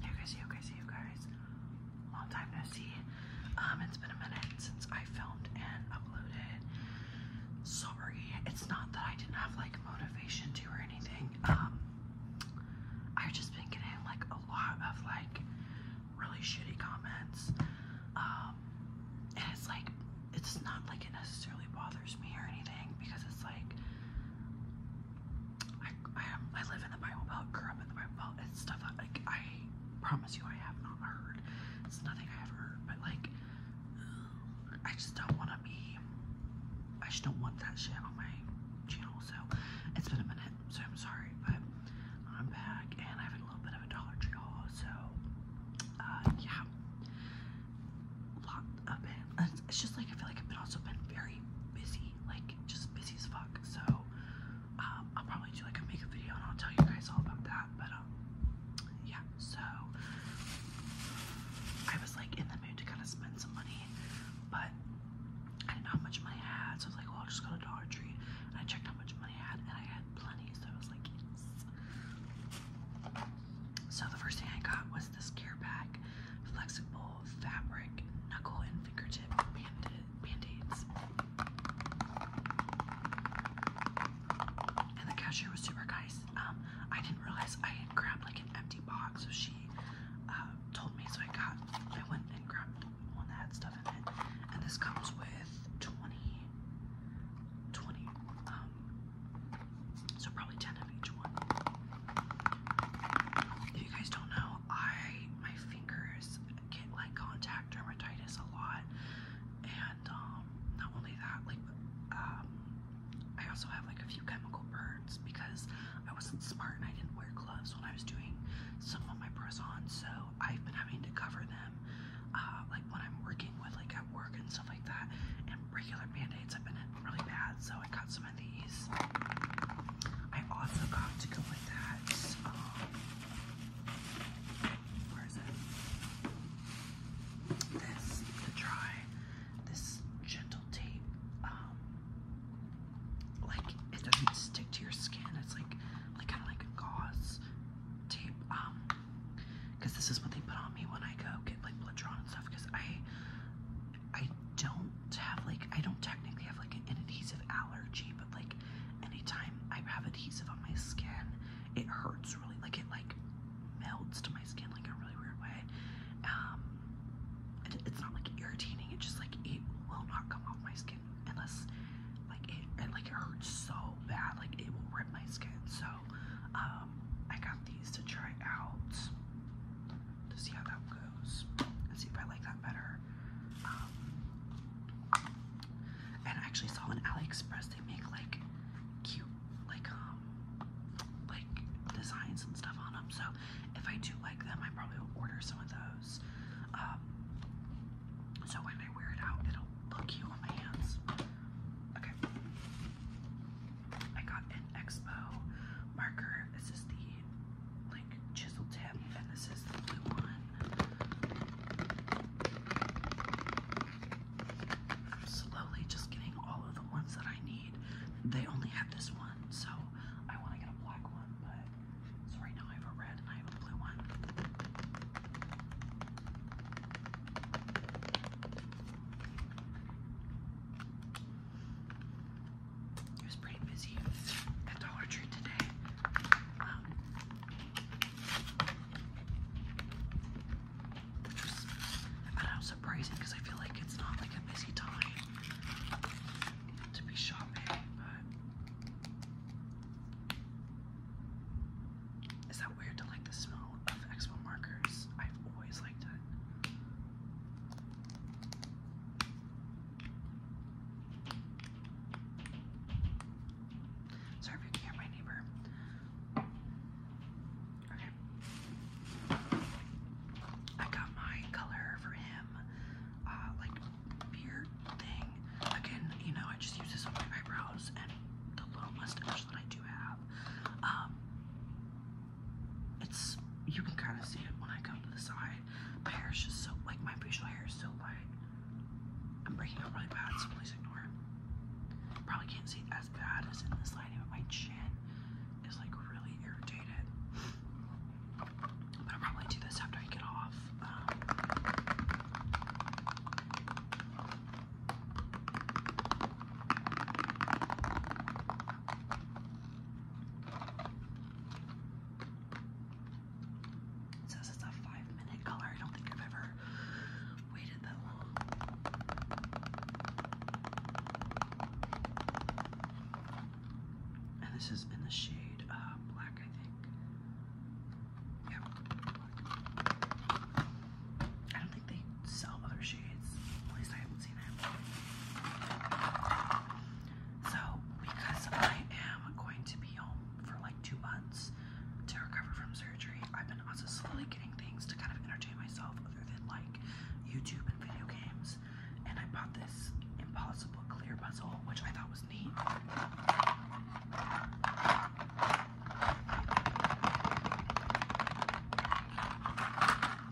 Hey guys, you guys, you guys. Long time no see. Um, it's been a minute since I filmed and uploaded. Sorry, it's not that I didn't have like motivation to or anything. Um, I've just been getting like a lot of like really shitty comments. Um, and it's like, it's not like it necessarily bothers me or anything because it's like, I, I, am, live in the Bible Belt, grew up in the Bible Belt. It's stuff like, I promise you I have not heard. It's nothing I have heard, but, like, I just don't want to be, I just don't want that shit on my channel. So, it's been a minute, so I'm sorry, but I'm back and I have a little bit of a Dollar Tree haul. So, uh, yeah. Lot of it's just like I feel like I've been also been very busy, like just busy as fuck. So um, I'll probably do like a makeup video and I'll tell you guys all about that. But um, yeah, so I was like in the mood to kind of spend some money, but I didn't know how much money I had, so I was like, well, I'll just go to Dollar Tree. And I checked how much money I had, and I had plenty, so I was like, yes. So the first thing I got was this gear pack, flexible fabric knuckle and fingertip band And the cashier was super nice. Um, I didn't realize I had grabbed like an empty box, so she uh, told me. So I got, I went and grabbed one that had stuff in it. And this comes with 20, um, so probably 10 of each one. If you guys don't know, I my fingers get like contact dermatitis a lot. And um, not only that, like um, I also have like a few chemical burns because I wasn't smart and I didn't wear gloves when I was doing some of my press on, so I've been having to cover them uh, like when I'm working with like at work and stuff like that and regular band-aids have been really bad, so I got some of these. I also got to go with that. Um, where is it? This to try. This gentle tape. Um, like it doesn't stick to your skin. It's like, like kind of like a gauze tape. Um, because this is what they put on me when I go get like blood drawn and stuff. Because I I don't have like I don't technically have like an adhesive allergy, but like anytime I have adhesive on my skin, it hurts really like it like melts to my skin like a really weird way. Um it's not like irritating, it just like it will not come off my skin unless like it and like it hurts so bad, like it will rip my skin. So um I got these to try out to see how that goes and see if I like that better. Um, and I actually saw on AliExpress they make like cute like um like designs and stuff on them. So if I do like them, I probably will order some of those. Um, so when I wear it out, it'll look cute on my hands. Okay. I got an Expo marker. This is the like chisel tip, and this is the blue one. I'm slowly just getting all of the ones that I need. They only have this one, so I want to get a black one, but so right now I have a red and I have a blue one. It was pretty busy at Dollar Tree today. Um, was, I do surprising because I feel like it's not like a busy time to be shopping, but is that weird to like the smell of Expo markers? I've always liked it. Sorry if neighbor. Okay. I got my color for him, uh, like beard thing. Again, you know, I just use this on my eyebrows and the little mustache that I do have. Um, it's you can kind of see it when I come to the side. My hair is just so like my facial hair is so white. I'm breaking up really bad, so please ignore it. Probably can't see as bad as in this lighting, but my chin is like really irritated. But I'll probably do this after I get off. Um, says it's a five minute color. I don't think I've ever waited that long. And this is in the shade uh, black, I think. Yep. I don't think they sell other shades. At least I haven't seen them. So, because I am going to be home for like two months to recover from surgery, I've been also slowly getting things to kind of entertain myself other than like YouTube and video games. And I bought this impossible clear puzzle, which I thought was neat. Okay,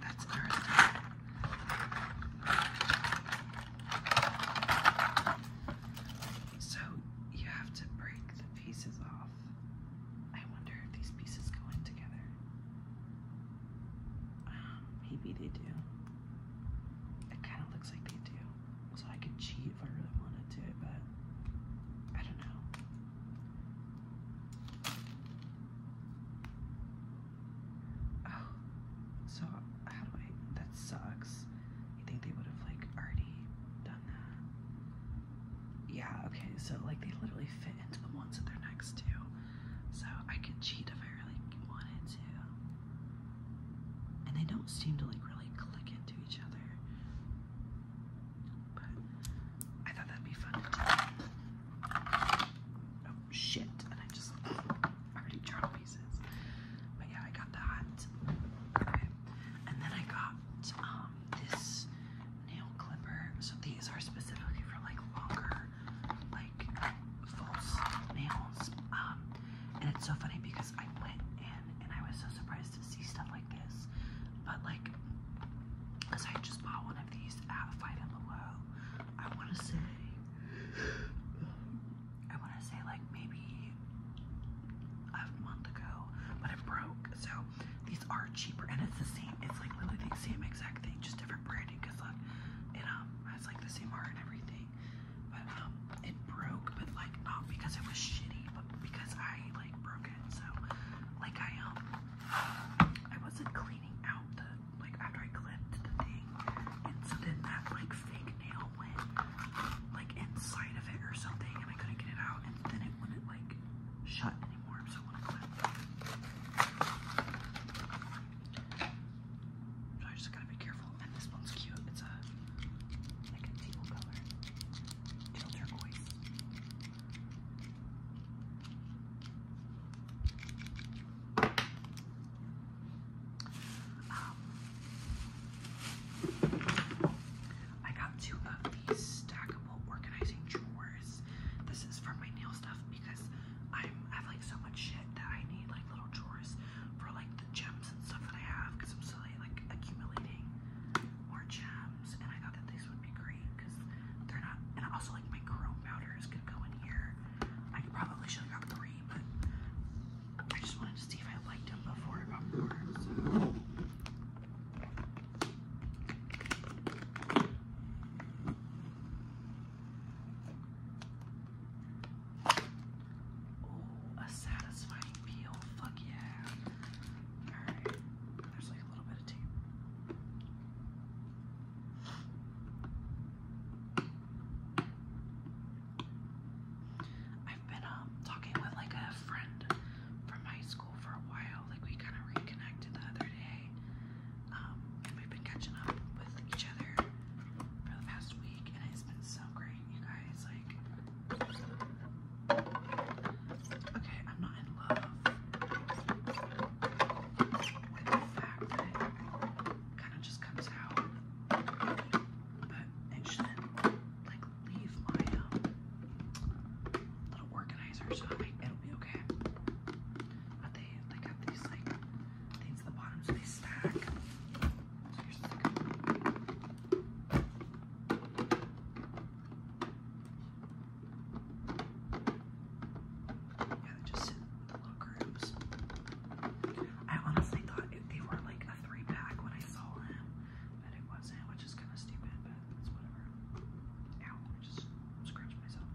that's ours. So you have to break the pieces off. I wonder if these pieces go in together. maybe they do. It kind of looks like they do. So I could cheat if I really wanted to, but I don't know. Oh, so how do I? That sucks. You think they would have like already done that? yeah, okay, so like they literally fit into the ones that they're next to. So I could cheat if I really wanted to. And they don't seem to like really click into each other. But I thought that'd be fun Oh shit, and I just already dropped pieces. But yeah, I got that. Okay. And then I got um this nail clipper. So these are specifically for like longer, like false nails. Um, and it's so funny because I went in and I was so surprised to see stuff like this. But like, cause I just bought one of these at Five and Below. I want to say, I want to say like maybe a month ago, but it broke. So these are cheaper and it's the same. It's like literally the same exact thing, just different branding because like it's um, like the same art and everything. But um it broke but like not because it was shitty but because I like broke it. So like I um I wasn't cleaning out the like after I clipped the thing and so then that like fake nail went like inside of it or something and I couldn't get it out and then it wouldn't like shut I just gotta be careful. And this one's cute. It's a like a teal color, teal turquoise. Um, I got two of these stackable organizing drawers. This is for my nail stuff because i I have like so much shit that I need like little drawers for like the gems and stuff that I have because I'm slowly like accumulating more gems and I thought that these would be great because they're not and also like my chrome powder is gonna go in here. I probably should have got three but I just wanted to see if I liked them before I got more. So. Oh, a satisfying peel. Fuck yeah. Alright. There's like a little bit of tape. I've been um talking with like a friend from high school for a while. Like we kind of reconnected the other day, um, and we've been catching up with each other for the past week, and it's been so great, you guys. Like, okay, I'm not in love with the fact that it kind of just comes out, but like leave my um, little organizer, so I it'll be okay. But they they got these like things at the bottom, so they stack. yeah, they just sit in little groups. I honestly thought it, they were like a three pack when I saw them and it wasn't, which is kind of stupid, but it's whatever. Ow, I just scratched myself.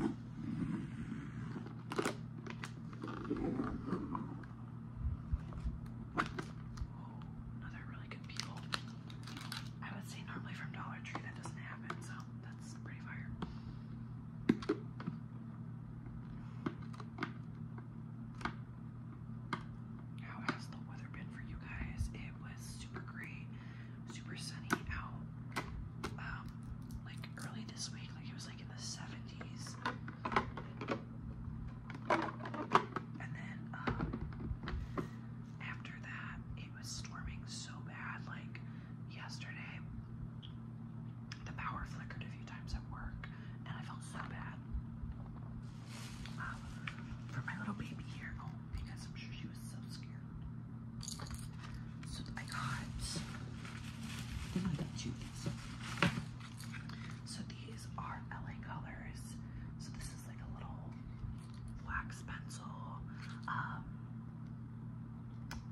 Oh, another really good peel. I would say normally from Dollar Tree that doesn't happen, so that's pretty fire. How has the weather been for you guys? It was super great, super sunny out. Um, like early this week, like it was like in the 70s. And then um, after that it was storming so bad like yesterday the power flickered a few times at work, and I felt so bad um, for my little baby here at oh, because I'm sure she was so scared. So I got, then I got you these. So these are LA colors. So this is like a little wax pencil um,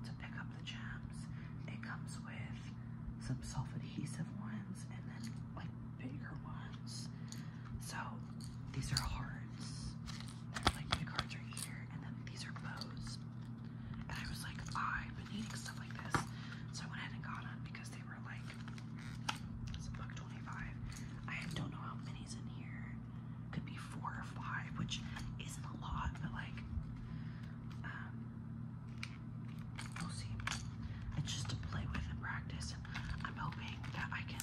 to pick up the gem. It comes with some self adhesive ones and then like bigger ones. So these are hearts. They're like big cards are here, and then these are bows. And I was like, I've been needing stuff like this. So I went ahead and got them because they were like it's buck 25. I don't know how many's in here. Could be four or five, which isn't a lot, but like um, we'll see. It's just to play with and practice. I'm hoping that I can,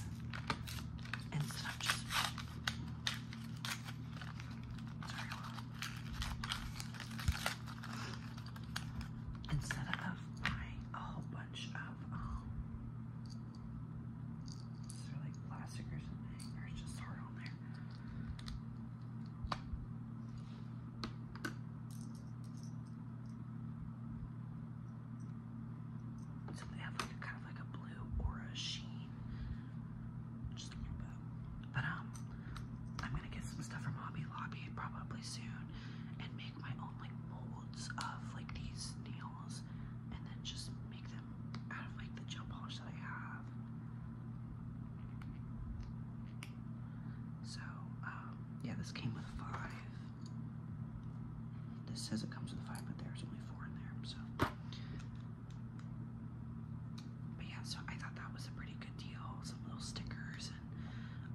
instead of just. Instead of buying a whole bunch um, of, like plastic or something, or just hard on there? So they have like a, kind of like a blue or a sheen, just a little bit. But um, I'm gonna get some stuff from Hobby Lobby probably soon, and make my own like molds of like these nails, and then just make them out of like the gel polish so, um, yeah, this came with five. This says it comes with five, but there's only four in there, so. But yeah, so I thought that was a pretty good deal. Some little stickers and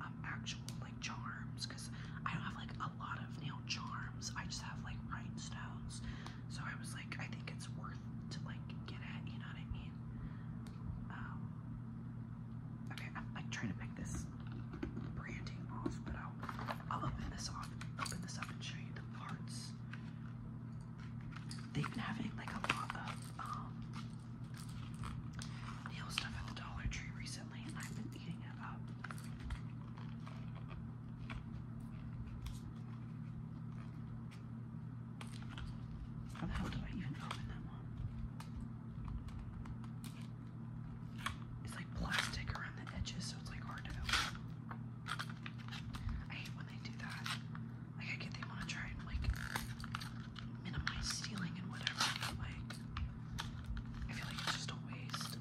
um, actual like charms, because I don't have like a lot of nail charms. I just have like rhinestones so I was like, I think it's worth to like get at, you know what I mean? Um, okay, I'm like trying to pick this branding off, but I'll I'll open this off, open this up and show you the parts. They've been having like a lot of um nail stuff at the Dollar Tree recently, and I've been eating it up. How the hell do I even open that one? It's like plastic around the edges, so it's like hard to open. I hate when they do that. Like I get they want to try and like minimize stealing and whatever, like I feel like it's just a waste.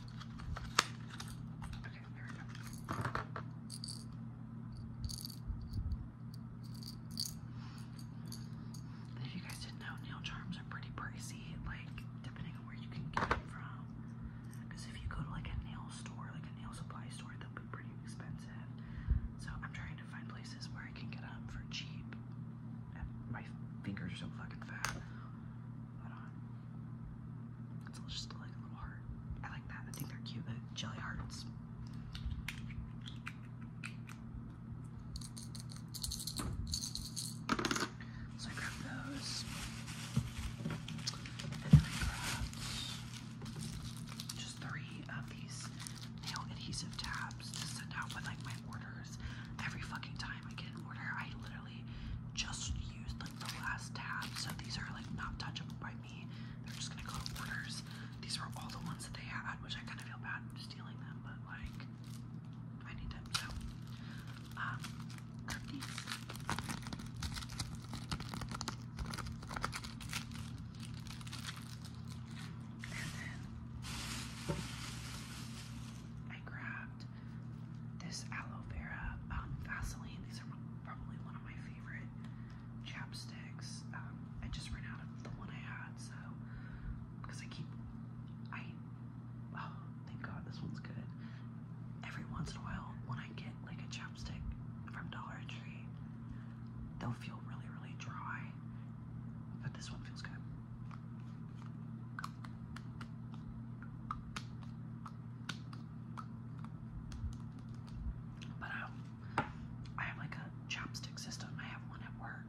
If you guys didn't know, nail charms are pretty pricey, like depending on where you can get them from. Because if you go to like a nail store, like a nail supply store, they'll be pretty expensive. So I'm trying to find places where I can get them for cheap. my fingers are so fucking fat. Hold all just like a little heart. I like that. I think they're cute, but jelly hearts. So I grabbed those. And then I grabbed just three of these nail adhesive tabs to send out with like my orders. Every fucking time I get an order, I literally literally just used like the last tab, so these are like not touchable by me. They're just gonna go to orders. These were all the ones that they had, which I kind of feel bad stealing them, but like I need them. So um, cookies. And then I grabbed this aloe vera um, Vaseline. These are probably one of my favorite chapsticks. Um, I just ran out of the one I had, so because I keep, I oh thank God this one's good. Every once in a while, when I get like a chapstick from Dollar Tree, they'll feel really really dry, but this one feels good. But um, I, have like a chopstick system. I have one at work.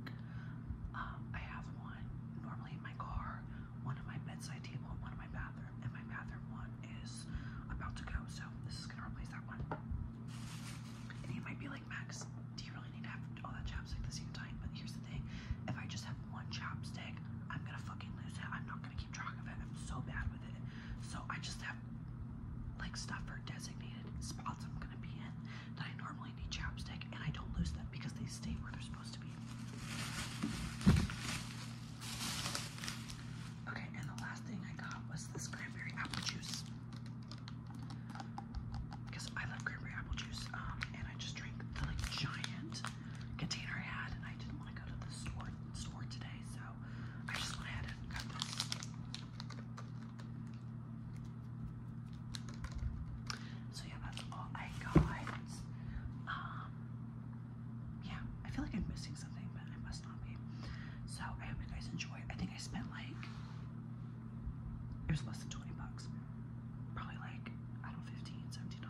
Um, I have one normally in my car, one at my bedside table, and one in my bathroom. And my bathroom one is about to go, so this is gonna replace that one. And you might be like, Max, do you really need to have all that chapstick at the same time? But here's the thing: if I just have one chopstick, I'm gonna fucking lose it. I'm not gonna keep track of it. I'm so bad with it. So I just have like stuff for designated spots I'm gonna be in that I normally need chopstick, and I don't lose them because they stay where they're supposed to be. Okay, and the last thing I got was this cranberry apple juice. Because I love cranberry apple juice, um, and I just drink the like giant container I had, and I didn't want to go to the store today, so I just went ahead and got this. So yeah, that's all I got. Um, yeah, I feel like I'm missing something, but I must not be. So I hope you guys enjoy. I think I spent like it was less than 20 bucks probably like, I don't know, 15 $17.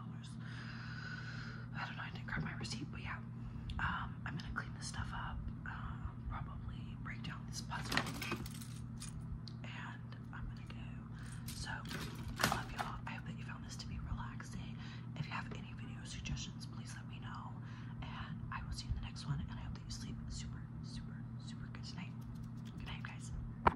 I don't know, I didn't grab my receipt, but yeah. Um, I'm gonna clean this stuff up, um, probably break down this puzzle, and I'm gonna go. So, I love y'all. I hope that you found this to be relaxing. If you have any video suggestions, please let me know, and I will see you in the next one, and I hope that you sleep super, super, super good tonight. Good night, guys.